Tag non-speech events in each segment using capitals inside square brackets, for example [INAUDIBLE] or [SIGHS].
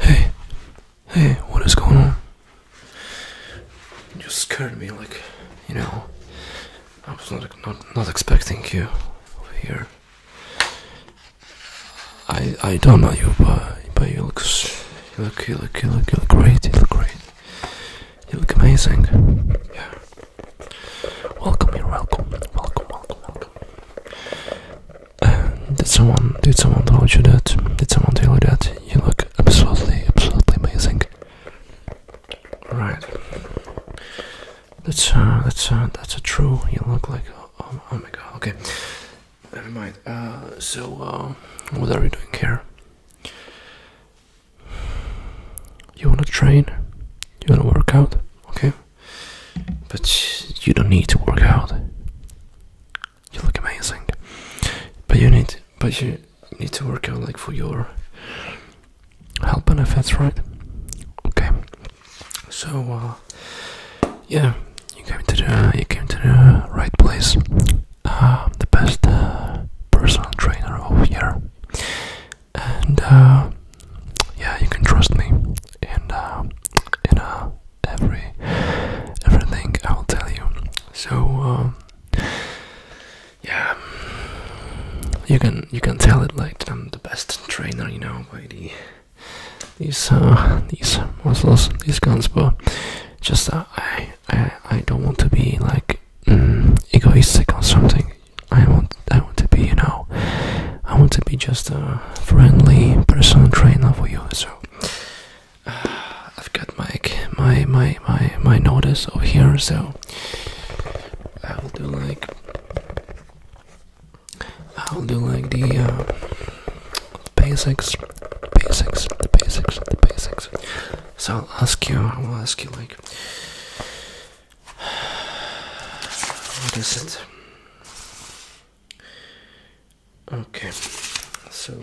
Hey, hey, what is going on? You scared me, like, you know, I was not not, not expecting you over here. I I don't know you, but but you look you look you look you look great. You look great. You look amazing. Yeah. Welcome, you're welcome, welcome, welcome, welcome. did someone, did someone tell you that? Did someone tell you that? You look absolutely, absolutely amazing. Right. That's uh, that's uh, that's a true. You look like oh, oh, oh, my god. Okay, never mind. Uh, so uh, what are we doing here? You wanna train? You wanna work out? okay? But you don't need to work out. You look amazing, but you need, but you need to work out like for your health benefits, right? Okay. So, uh, yeah, you came to the you came to the right place. Uh, the best uh, personal trainer over here and uh, yeah, you can trust me and uh, in uh, every everything I'll tell you. So um, yeah, you can you can tell it like I'm the best trainer, you know, by these uh, these muscles, these guns, but just uh, I I don't want to be like mm, egoistic or something. I want I want to be, you know, I want to be just a friendly personal trainer for you. So [SIGHS] I've got my my my my my notice over here. So I will do like I'll do like the uh, basics, basics, the basics, the basics. So I'll ask you. I'll ask you like what is it? Okay, so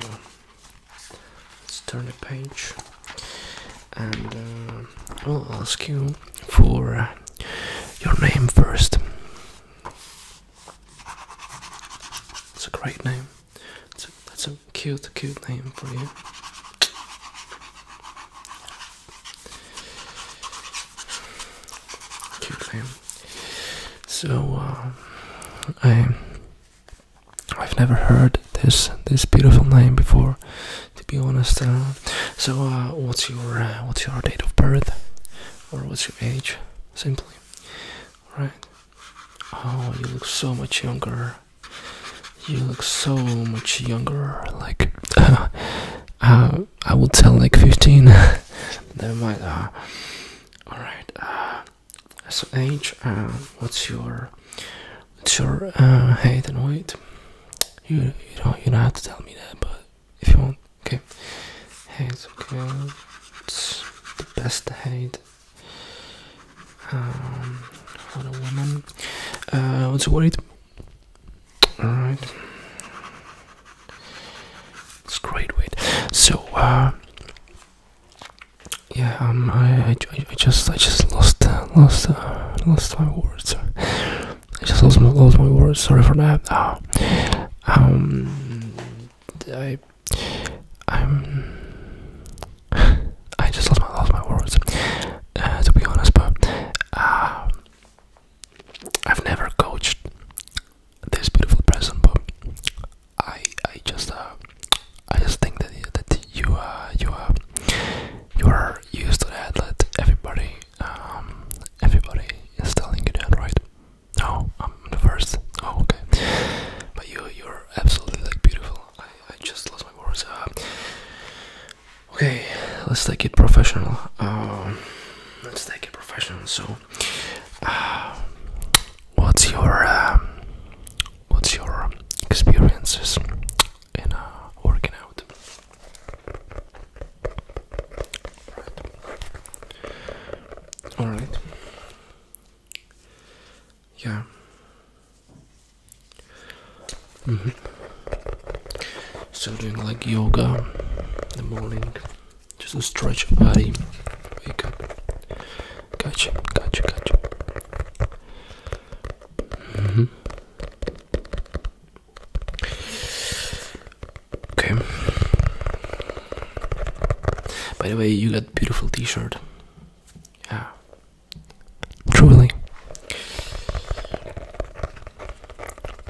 let's turn the page, and uh, I'll ask you for uh, your name first. It's a great name. It's a, that's a cute, cute name for you. Cute So uh, I I've never heard this this beautiful name before, to be honest. Uh, so uh, what's your what's your date of birth, or what's your age, simply? right? Oh, you look so much younger you look so much younger. Like, [LAUGHS] uh, I would tell like 15. [LAUGHS] Never mind. Uh, Alright. Uh, so, age, uh, what's your what's your uh, height and weight? You, you, don't, you don't have to tell me that, but if you want, okay. Height, okay. It's the best height. Um, for a woman. Uh, what's your weight? Alright. It's great weight. So uh yeah, um, I, just I just lost uh, lost uh, lost my words. I just lost my lost my words, sorry for that. Uh, um I I'm I just lost my lost my words. Uh, to be honest, but uh, I've never coached this beautiful person, but I I just uh, I just think that that you uh, you uh, you are used to the That everybody um, everybody is telling you that, right? No, I'm the first. Oh, okay. But you you're absolutely beautiful. I, I just lost my words. Okay, let's take it professional. Um, let's take it professional. So, uh, what's your um, what's your experiences in uh, working out? All right. Yeah. Mm So doing like yoga in the morning, just to stretch your body. Wake up. Gotcha, gotcha, gotcha. Mm -hmm. Okay. By the way, you got beautiful T-shirt. Yeah, Truly.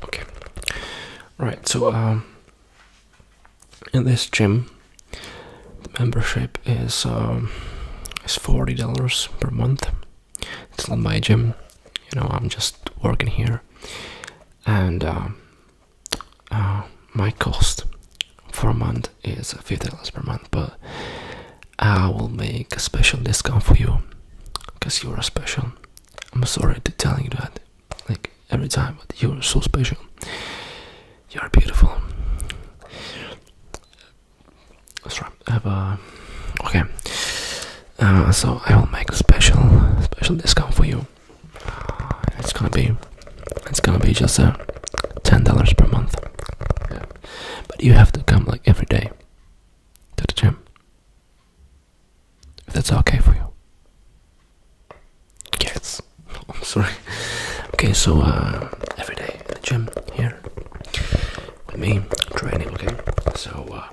Okay. Right, so um, in this gym the membership is um is forty dollars per month. It's not my gym, you know, I'm just working here. And um, uh, my cost for a month is fifty dollars per month, but I will make a special discount for you because you're special. I'm sorry to tell you that like every time, but you're so special. You're beautiful. Sorry, I have a okay. Uh, so I will make a special special discount for you. it's gonna be it's gonna be just a uh, ten dollars per month. But you have to come like every day to the gym. If that's okay for you. Yes. [LAUGHS] I'm sorry. Okay, so uh, every day in the gym here with me training. Okay, so uh,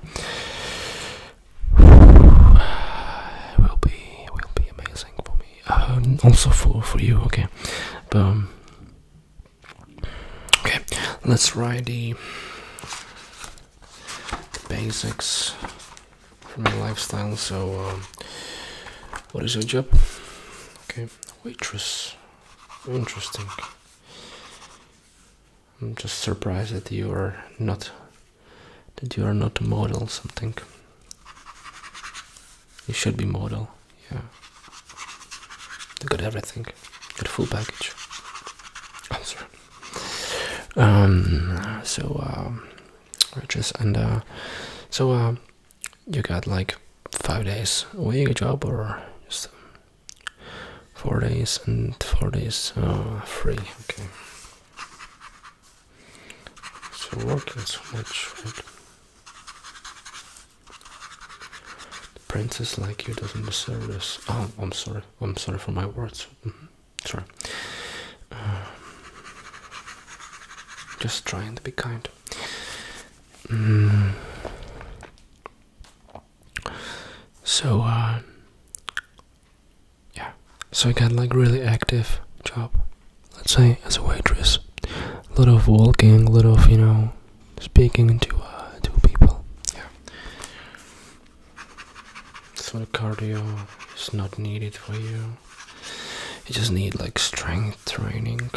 it [SIGHS] will be will be amazing for me. Uh, also for for you. Okay, but um, Okay, let's write the, basics for my lifestyle. So, um, what is your job? Okay, waitress. Interesting. I'm just surprised that you are not that you are not a model something. You should be mortal. Yeah. They got everything. Got full package. I'm oh, sorry. Um. So um, riches and uh, so um, you got like five days a week job or just four days and four days uh, free. Okay. So working so much. Princess like you doesn't deserve this. Oh, I'm sorry. I'm sorry for my words. Mm-hmm. Sorry. Uh, just trying to be kind. Mm. So, uh, yeah. So I got like really active job. Let's say as a waitress, a lot of walking, a lot of you know speaking to uh, two people. Yeah. So cardio is not needed for you. You just need like strength training.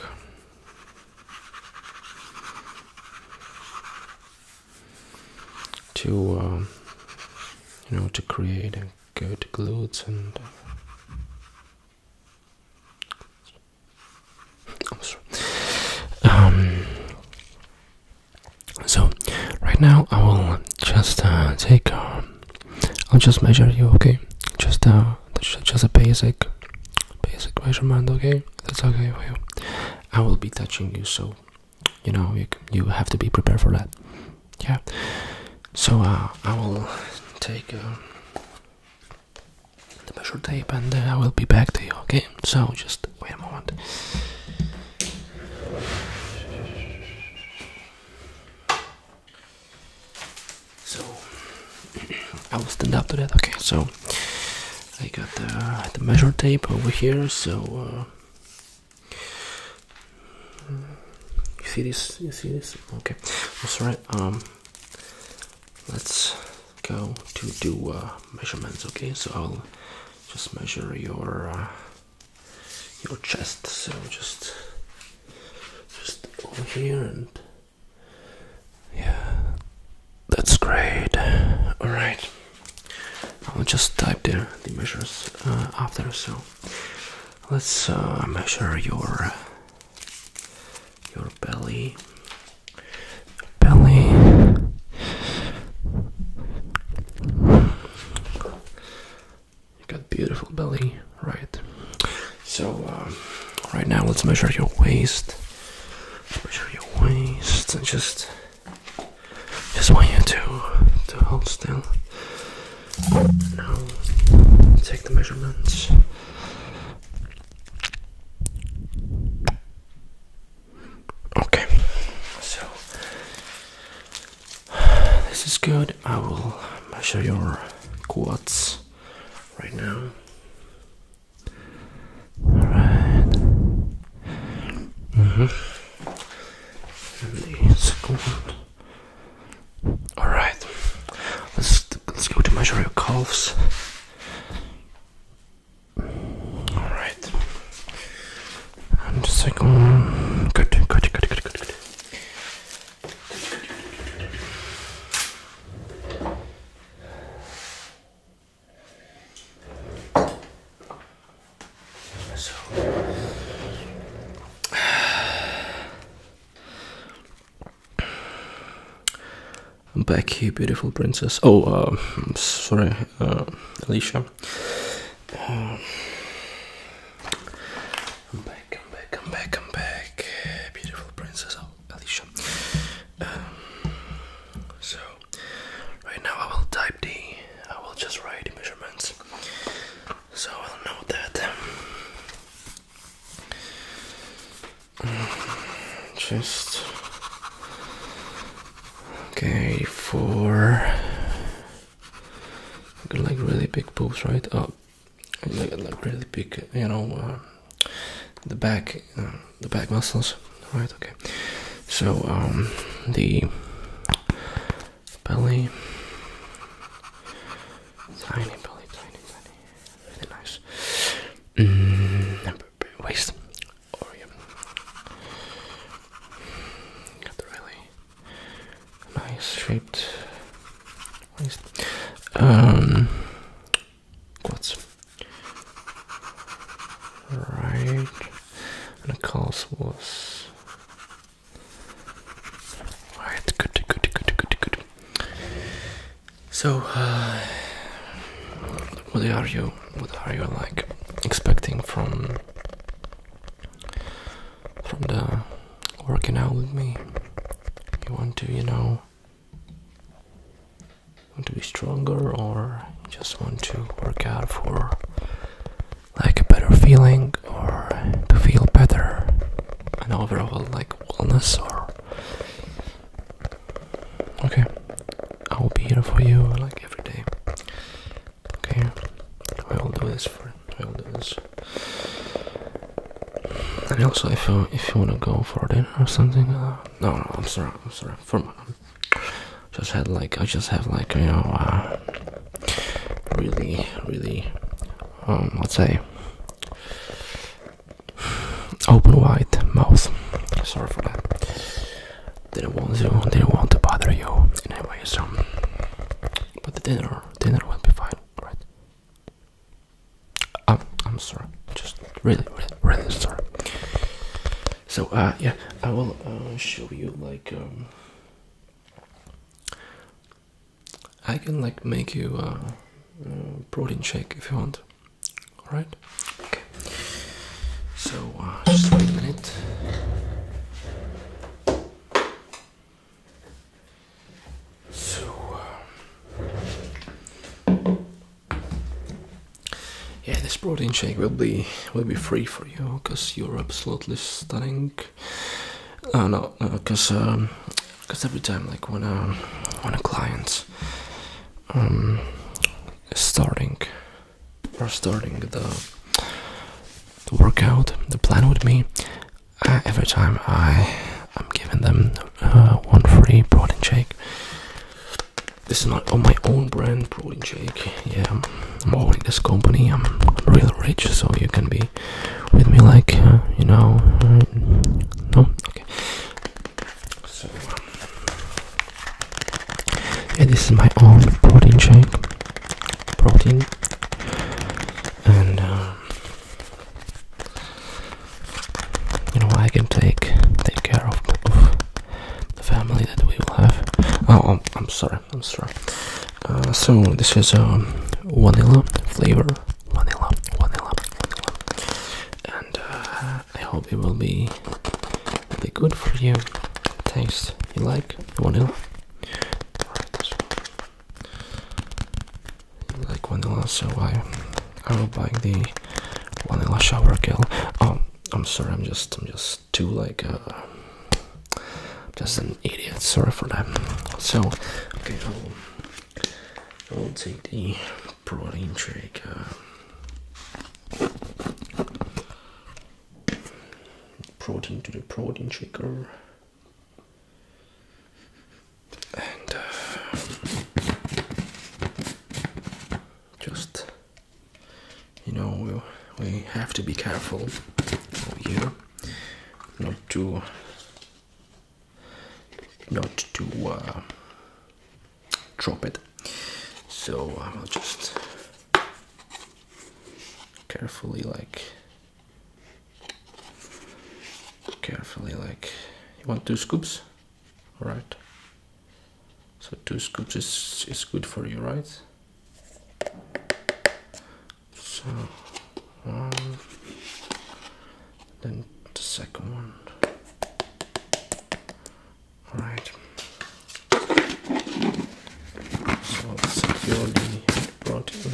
To um, you know, to create good glutes and uh, also, um, so right now I will just uh, take. Uh, I'll just measure you, okay? Just uh, just a basic, basic measurement, okay? That's okay for you. I will be touching you, so you know you you have to be prepared for that. Yeah. So uh, I will take. Uh, the measure tape and uh, I will be back to you, okay? So just wait a moment. So [CLEARS THROAT] I will stand up to that, okay? So I got uh, the measure tape over here, so uh, you see this? You see this? Okay, that's right. Um, let's go to do uh, measurements. Okay, so I'll just measure your uh, your chest. So just just over here and yeah, that's great. All right, I'll just type there the measures uh, after. So let's measure your your belly belly you got beautiful belly right so uh, right now let's measure your waist measure your waist and just just want you to to hold still now take the measurements Okay, so this is good. I will measure your quads right now. Alright. hmm. Alright. Let's let's go to measure your calves. Alright. And good, good, good, good, good, good. So i back here, beautiful princess. Oh, um, sorry, uh, Alicia. Uh, back, i back, i back, i back. Beautiful princess, oh, Alicia. Um, so, right now I will type the, I will just write the measurements. So I'll know that just okay for like really big boobs, right? Oh, like really big, you know, uh, the back, uh, the back muscles, right? Okay, so um, the belly, tiny belly, tiny tiny really nice. Mm, waste. Got the really nice shaped waist. Um, what's right? And the calls was. Alright, good, good, good, good, good, good. So, uh, what are you? What are you like expecting from from the working out with me? You want to, you know, want to be stronger, or just want to work out for like a better feeling, or to feel better, and overall like wellness or okay I will be here for you like every day okay I will do this for I will do this and also if you if you wanna go for dinner or something uh, no no I'm sorry I'm sorry for my just had like I just have like you know uh, really really um let's say Open wide mouth. Sorry for that. Didn't want to. Didn't want to bother you in any way. So, but the dinner, dinner will be fine, right? I'm, um, I'm sorry. Just really, really, sorry. So, uh, yeah, I will uh, show you like um, I can like make you a uh, mm, protein shake if you want. All right. Okay. So uh, just wait a minute. So uh, yeah, this protein shake will be will be free for you because you're absolutely stunning. I oh uh, no no because because um, every time like when um when a client um starting or starting the the workout the plan with me uh, every time i i'm giving them uh, one free protein shake this is not on my own brand protein shake yeah i'm owning this company i'm real rich so you can be with me like uh, you know uh, no okay so um, yeah this is my own protein shake protein and um, you know I can take take care of, the family that we will have oh I'm sorry I'm sorry uh, so this is um, vanilla flavor, vanilla, vanilla, and uh, I hope it will be be good for you. Taste you like vanilla. Right. You like vanilla, so I I will buy the vanilla shower gel. Oh, I'm sorry, I'm just I'm just too like. Uh, just an idiot. Sorry for that. So, okay, I'll, take the protein shake. Uh, protein to the protein shaker. And uh, just you know we'll, we have to be careful over here, not to not to uh, drop it. So I um, will just carefully, like, carefully, like, you want two scoops? All right. So two scoops is, is good for you, right? So one, um, then the second one. All right. So securely brought in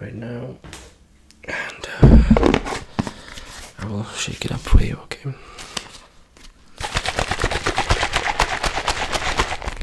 right now, and uh, I will shake it up for you. Okay.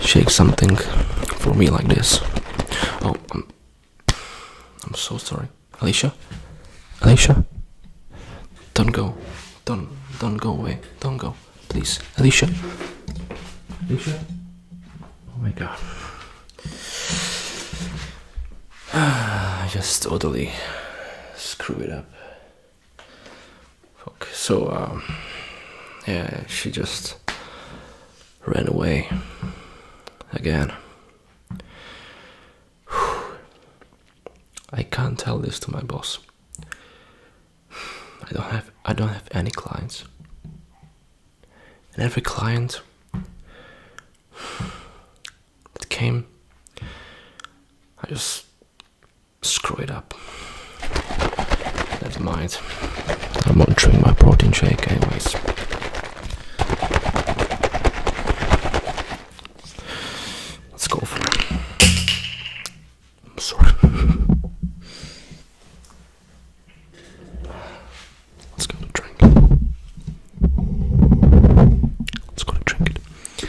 shake something for me like this. Oh, I'm, so sorry, Alicia. Alicia, don't go, don't, don't go away, don't go, please, Alicia. Alicia. Oh my God. I [SIGHS] just totally screw it up. Fuck. So, um, yeah, she just ran away again. [SIGHS] I can't tell this to my boss. I don't have I don't have any clients. And every client that came I just screw it up. Never mind. I'm monitoring my protein shake, anyways. Let's go for it. I'm sorry. Let's go to drink. Let's go to drink it.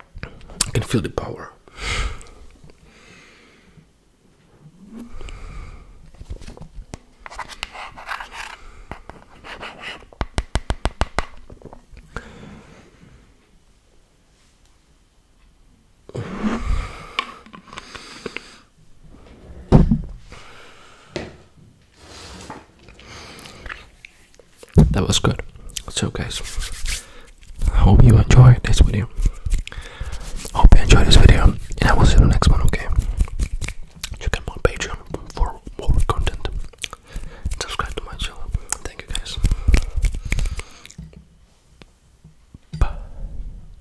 I can feel the power. That was good. So, guys, I hope you enjoyed this video. Hope you enjoyed this video, and I will see you in the next one. Okay, check out my Patreon for more content. Subscribe to my channel. Thank you, guys.